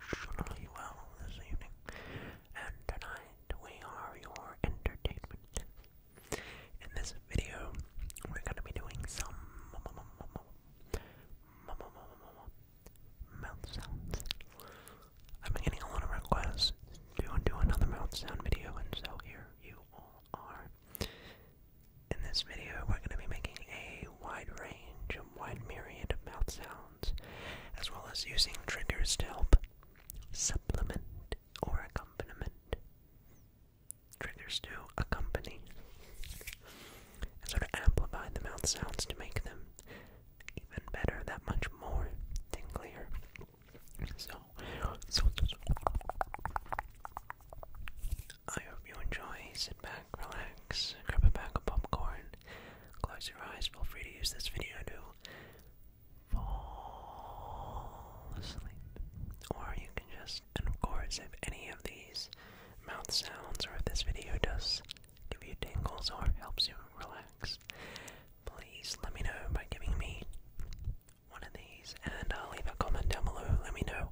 exceptionally well this evening, and tonight we are your entertainment. In this video, we're going to be doing some mouth sounds. I've getting a lot of requests to do another mouth sound video, and so here you all are. In this video, we're going to be making a wide range, a wide myriad of mouth sounds as well as using triggers to help supplement or accompaniment. Triggers to accompany sort of amplify the mouth sounds to make them even better, that much more tinglier. so. I hope you enjoy. Sit back, relax, grab a bag of popcorn, Close your eyes. Feel free to use this video to fall asleep. Or you can just, and of course, if any of these mouth sounds or if this video does give you tingles or helps you relax, please let me know by giving me one of these and uh, leave a comment down below. Let me know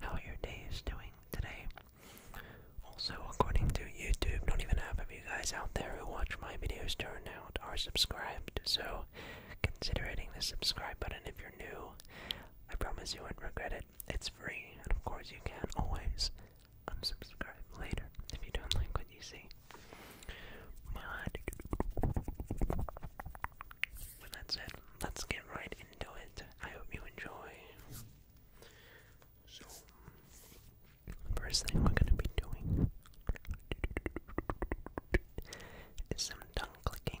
how your day is doing today. Also, according to YouTube, not even half of you guys out there who watch my videos turn out are subscribed, so consider hitting the subscribe button if you're new. I promise you won't regret it. It's free, and of course you can always unsubscribe later if you don't like what you see. But, but that's it. Let's get right into it. I hope you enjoy. So, first thing we're going to be doing is some tongue clicking.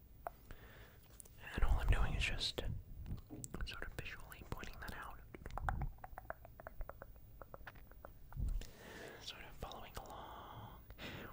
And all I'm doing is just sort of visually pointing that out. Sort of following along.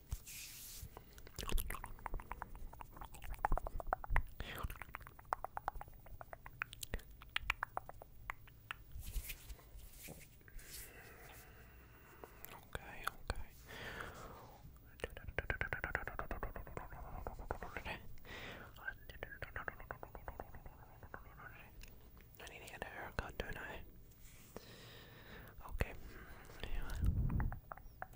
Okay, okay. I need to get a haircut, do Okay.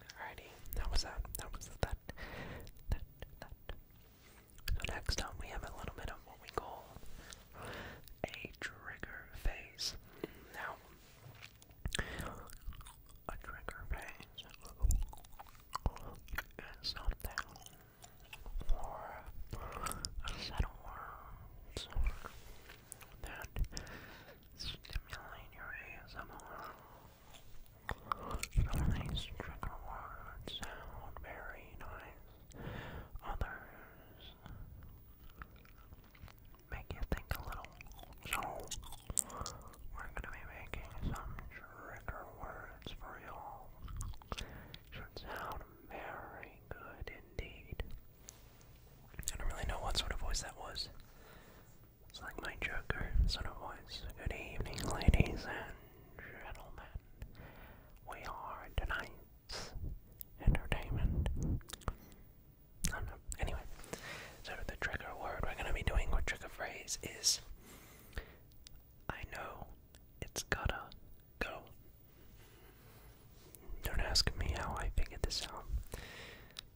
Alrighty, that was that. That was that. That, that. next time we have a little bit of what we call a trigger phase. Now, a trigger phase is something or a set of that stimulate your ASMR some of these trigger words sound very nice. Others make you think a little. So, we're gonna be making some trigger words for y'all. Should sound very good indeed. I don't really know what sort of voice that was. It's like my Joker sort of voice. Good evening, ladies and gentlemen. We are tonight's entertainment. I don't know. Anyway, so the trigger word we're going to be doing, or trigger phrase, is I know it's gotta go. Don't ask me how I figured this out.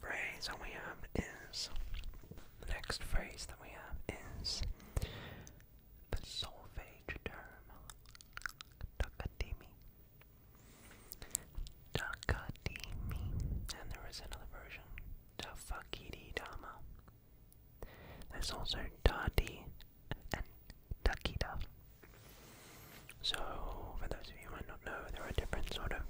phrase that we have is the next phrase that we have is the solfege term Takadimi. Takadimi. And there is another version. Tafakiri Dama. There's also Tati and Takida. So, for those of you who might not know, there are different sort of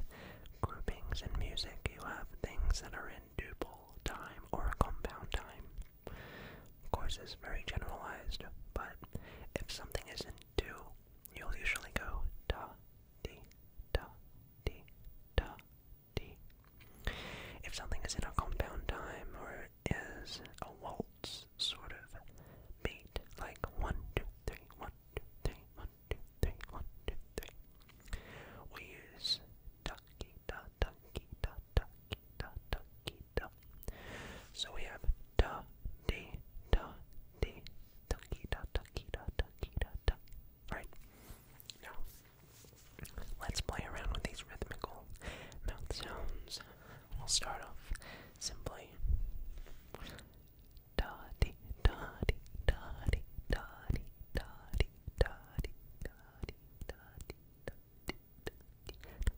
groupings in music, you have things that are in duple time or compound time. Of course, it's very generalized, but if something is in two, you'll usually go da, di, da, di, da, di. If something is in a compound time or is a waltz sort of beat, like one, two, three, one, two, three, one, two, three, one, two, three. We use ducky da ducky da ducky da ducky da. So we have da d da d ducky da ducky da ducky da duck. Right. Now let's play around with these rhythmical mouth sounds. We'll start off simply Dotty, dotty, dotty, dotty, dotty, dotty, dotty, dotty, dotty, dotty.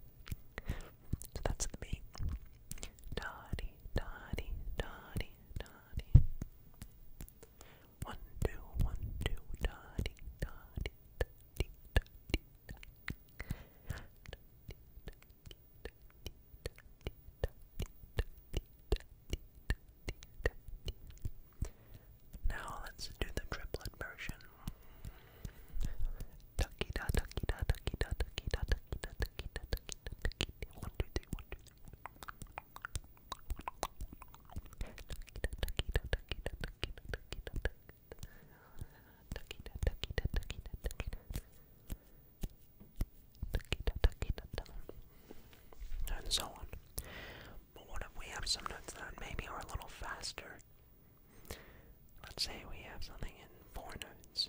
So that's the beat. Dotty, dotty, dotty, dotty. One, two, one, two, dotty, dotty, dotty, dotty, dotty, dotty, dotty, dotty, dotty, now let's do the triplet version and so on. But what if we have some notes that maybe are a little faster? Let's say we have something in four notes.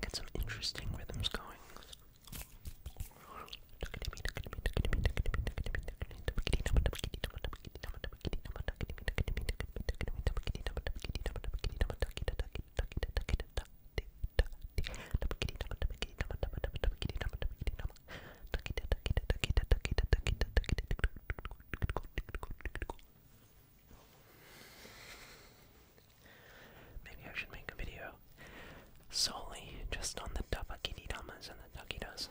Get some interesting rhythms going. Maybe I should make a video solely just on the Dabakiditamas and the Takitas.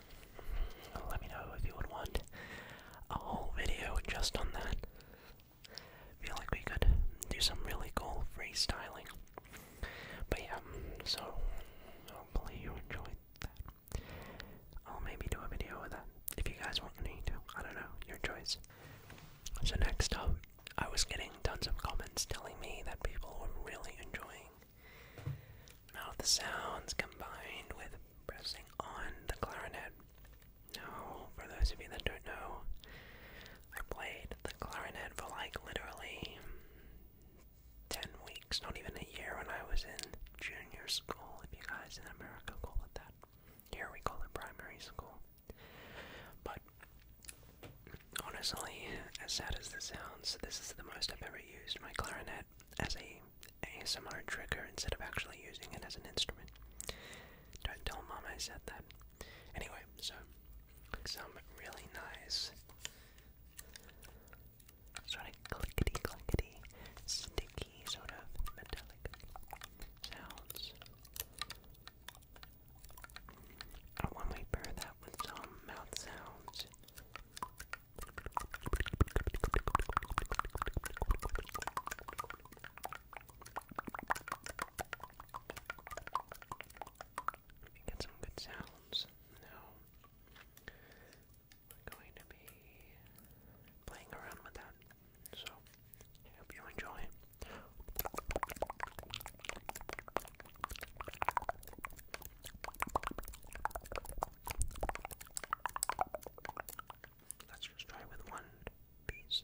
Let me know if you would want a whole video just on that. Feel like we could do some really cool freestyling. But yeah, so hopefully you enjoyed that. I'll maybe do a video with that if you guys want me to. I don't know, your choice. So, next up, I was getting tons of comments telling me that people were really enjoying mouth sounds combined with pressing on the clarinet. Now, for those of you that don't know, I played the clarinet for like literally mm, 10 weeks, not even a year, when I was in junior school, if you guys in America call it that. Here we call it primary school. But honestly, as sad as this sounds, this is the most I've ever used my clarinet as a ASMR trigger instead of actually using it as an instrument. Don't tell mom I said that. Anyway, so some really nice sort of clickety clickety sticky sort of metallic sounds. And when we pair that with some mouth sounds, get some good sounds. Now, we're going to be playing around with that so, I hope you enjoy. Let's just try with one piece.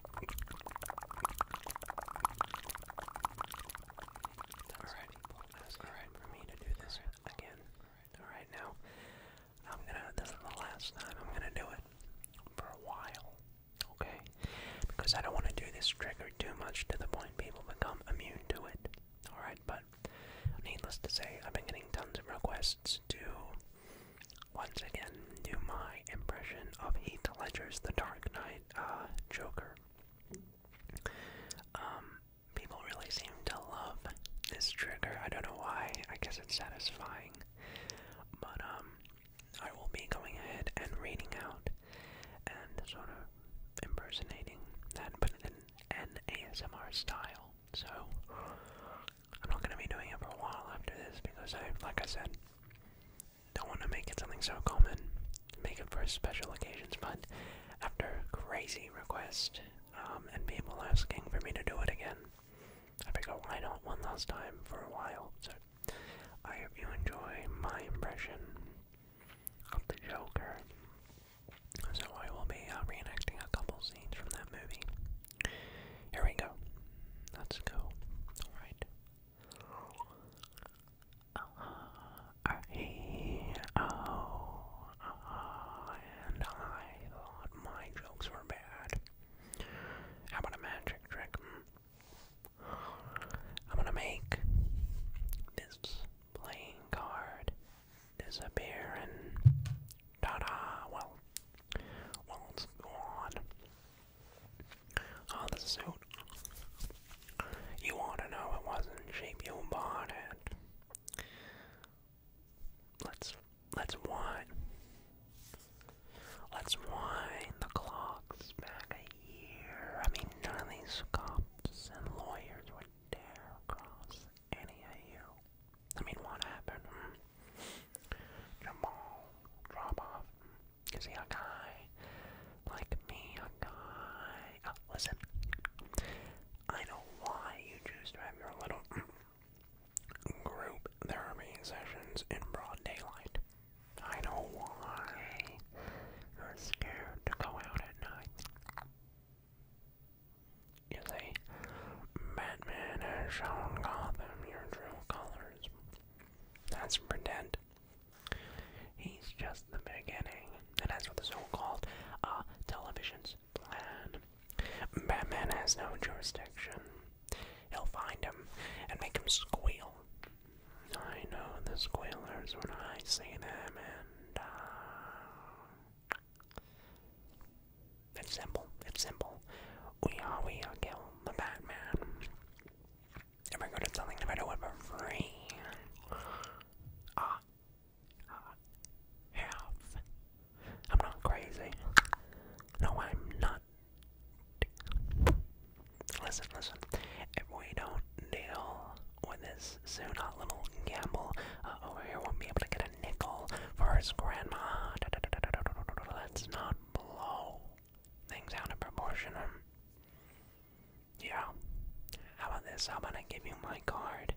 Alright, that's alright for me to do this again. Alright, now I'm gonna, this is the last time I'm gonna do it for a while, okay? Because I don't want to do this trigger too much to the point people become immune to it, alright? But needless to say, I've been getting tons of requests to once again do my impression of Heath Ledger's The Dark Knight uh, Joker. Um, people really seem to love this trigger. I don't know why. I guess it's satisfying. But um, I will be going ahead and reading out and sort of impersonating that, but in an ASMR style. So I'm not gonna be doing it for a while after this because I, like I said, don't want to make it something so common, make it for special occasions, but after crazy requests um, and people asking for me to do it again, I figured why not one last time for a while. So I hope you enjoy my impression of the Joker. So I will be uh, reenacting a couple scenes from that movie. Here we go. Let's go. Alright. R E O, and I thought my jokes were bad. How about a magic trick? Hmm. I'm gonna make this playing card disappear and ta-da! Well, well, it's gone. Oh, the suit. You ought to know it wasn't cheap. You bought it. Let's let's wind. Let's wind the clocks back a year. I mean, none of these cops and lawyers would dare cross any of you. I mean, what happened? Hmm. Jamal drop off. Is he a guy like me? A guy? Oh, listen. I know why you choose to have your little group therapy sessions in broad daylight. I know why you're scared to go out at night. You see, Batman has shown Gotham your true colors. That's pretend. He's just the beginning. And that's what the so-called uh, television's plan. Batman has no jurisdiction. He'll find him and make him squeal. I know the squealers when I see them and... Uh, it's simple. It's simple. We are, we are, kill the Batman and we're good at something no matter what we're free. Ah, uh, I'm not crazy. No, I'm not. Listen, listen. If we don't deal with this soon, hot little gamble over here won't be able to get a nickel for his grandma. Let's not blow things out of proportion. Um, yeah. How about this? How about I give you my card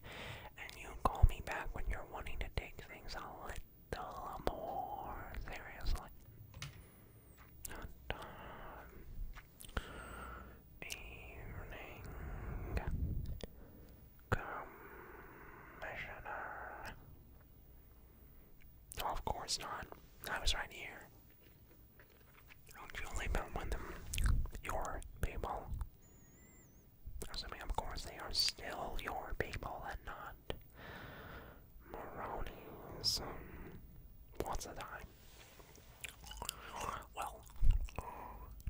and you call me back when you're wanting to take things a little more seriously? Not um, Evening Commissioner. No, oh, of course not. I was right here. Don't you them with them? Your people. Assuming, of course, they are still your people and not Maroni's. Um, what's the time? Well,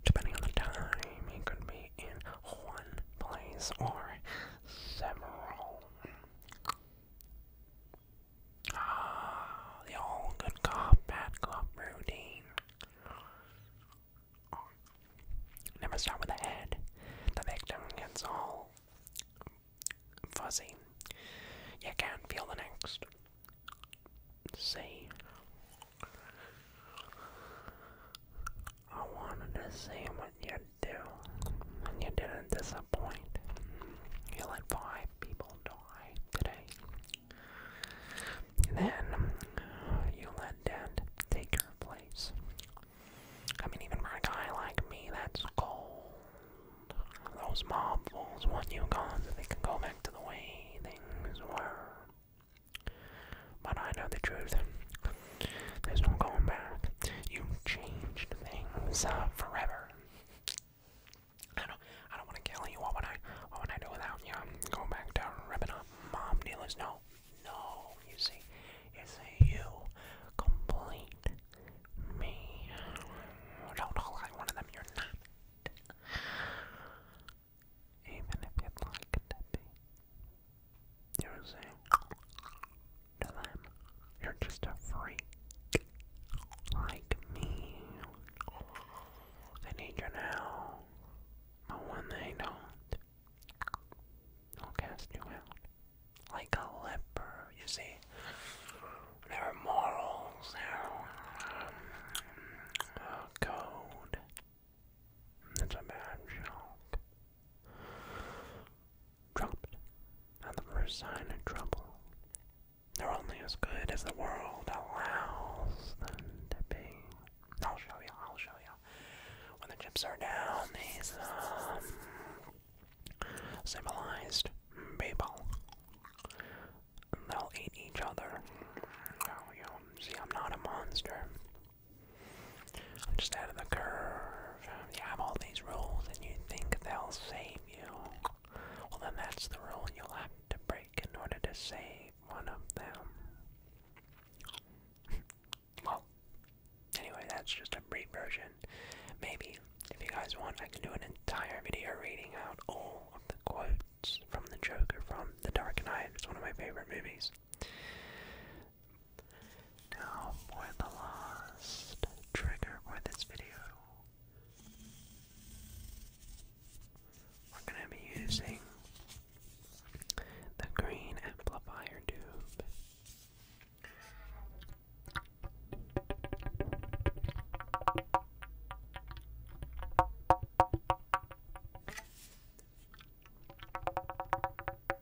depending on the time, it could be in one place or several. Ah, the old good cop, bad cop routine. Never start with the head. The victim gets all fuzzy. You can't feel the next. See? I wanted to see what you do, and you didn't disappoint. You let five people die today. Then you let Dad take your place. I mean, even for a guy like me, that's cold. Those mob fools want you gone so they can go back to the way things were. But I know the truth. There's no going back. You changed things uh, forever. I don't. I don't want to kill you. What would I? What would I do without you? i back to ripping up mom dealers. No, no. You see, it's you complete me. Don't all one of them. You're not. Even if you'd to be. You see? to them. You're just a freak like me. Oh, they need your now, but when they don't, I'll cast you out. Like a leper, you see. There are morals, there um, code. It's a bad joke. Trumped on the first sign of trouble. They're only as good as the world allows them to be. I'll show you, I'll show you. When the chips are down, these, um, people, they'll eat each other. Oh, you see, I'm not a monster. I'm just out of the curve. You have all these rules and you think they'll save you. Well, then that's the rule you'll have to break in order to save one of them. well, anyway, that's just a brief version. Maybe, if you guys want, I can do an entire video reading out all of the quotes from the Joker from The Dark Knight. It's one of my favorite movies. Now for the last trigger for this video. We're going to be using the green amplifier tube.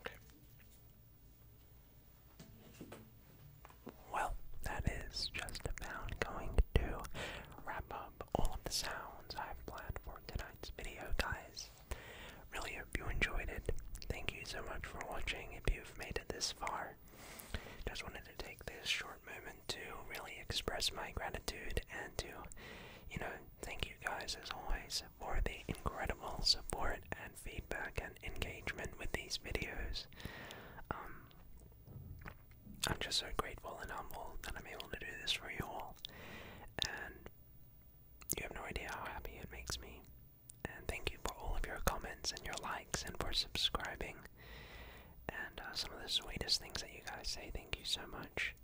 Okay. Well, that is just about going to wrap up all of the sounds I've planned for tonight's video, guys. Really hope you enjoyed it. Thank you so much for watching if you've made it this far. Just wanted to take this short moment to really express my gratitude and to, you know, Thank you guys as always for the incredible support and feedback and engagement with these videos. Um, I'm just so grateful and humble that I'm able to do this for you all. And you have no idea how happy it makes me. And thank you for all of your comments and your likes and for subscribing. And uh, some of the sweetest things that you guys say, thank you so much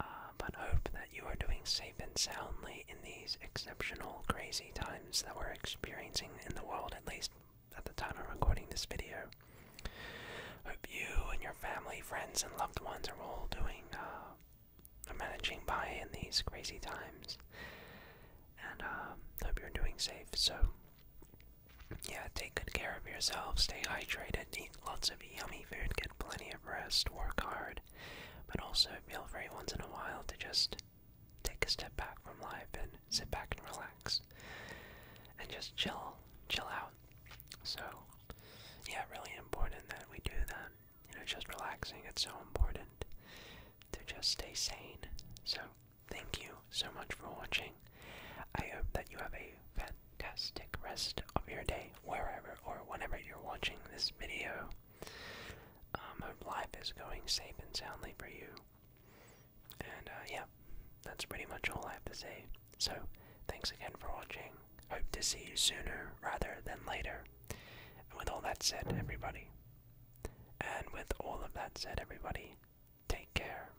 uh, but hope that you are doing safe and soundly in these exceptional, crazy times that we're experiencing in the world, at least at the time I'm recording this video. Hope you and your family, friends, and loved ones are all doing, uh, managing by in these crazy times. And um, hope you're doing safe. So, yeah, take good care of yourself, stay hydrated, lots of yummy food, get plenty of rest, work hard, but also feel free once in a while to just take a step back from life and sit back and relax and just chill, chill out. So, yeah, really important that we do that. You know, just relaxing, it's so important to just stay sane. So, thank you so much for watching. I hope that you have a fantastic fantastic rest of your day, wherever or whenever you're watching this video. Um, life is going safe and soundly for you. And uh, yeah, that's pretty much all I have to say. So, thanks again for watching. Hope to see you sooner rather than later. And with all that said, everybody, and with all of that said, everybody, take care.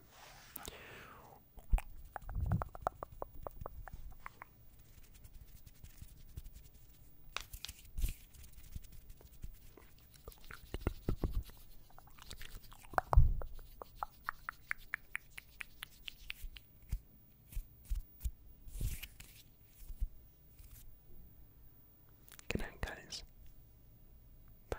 Good night, guys. Bye.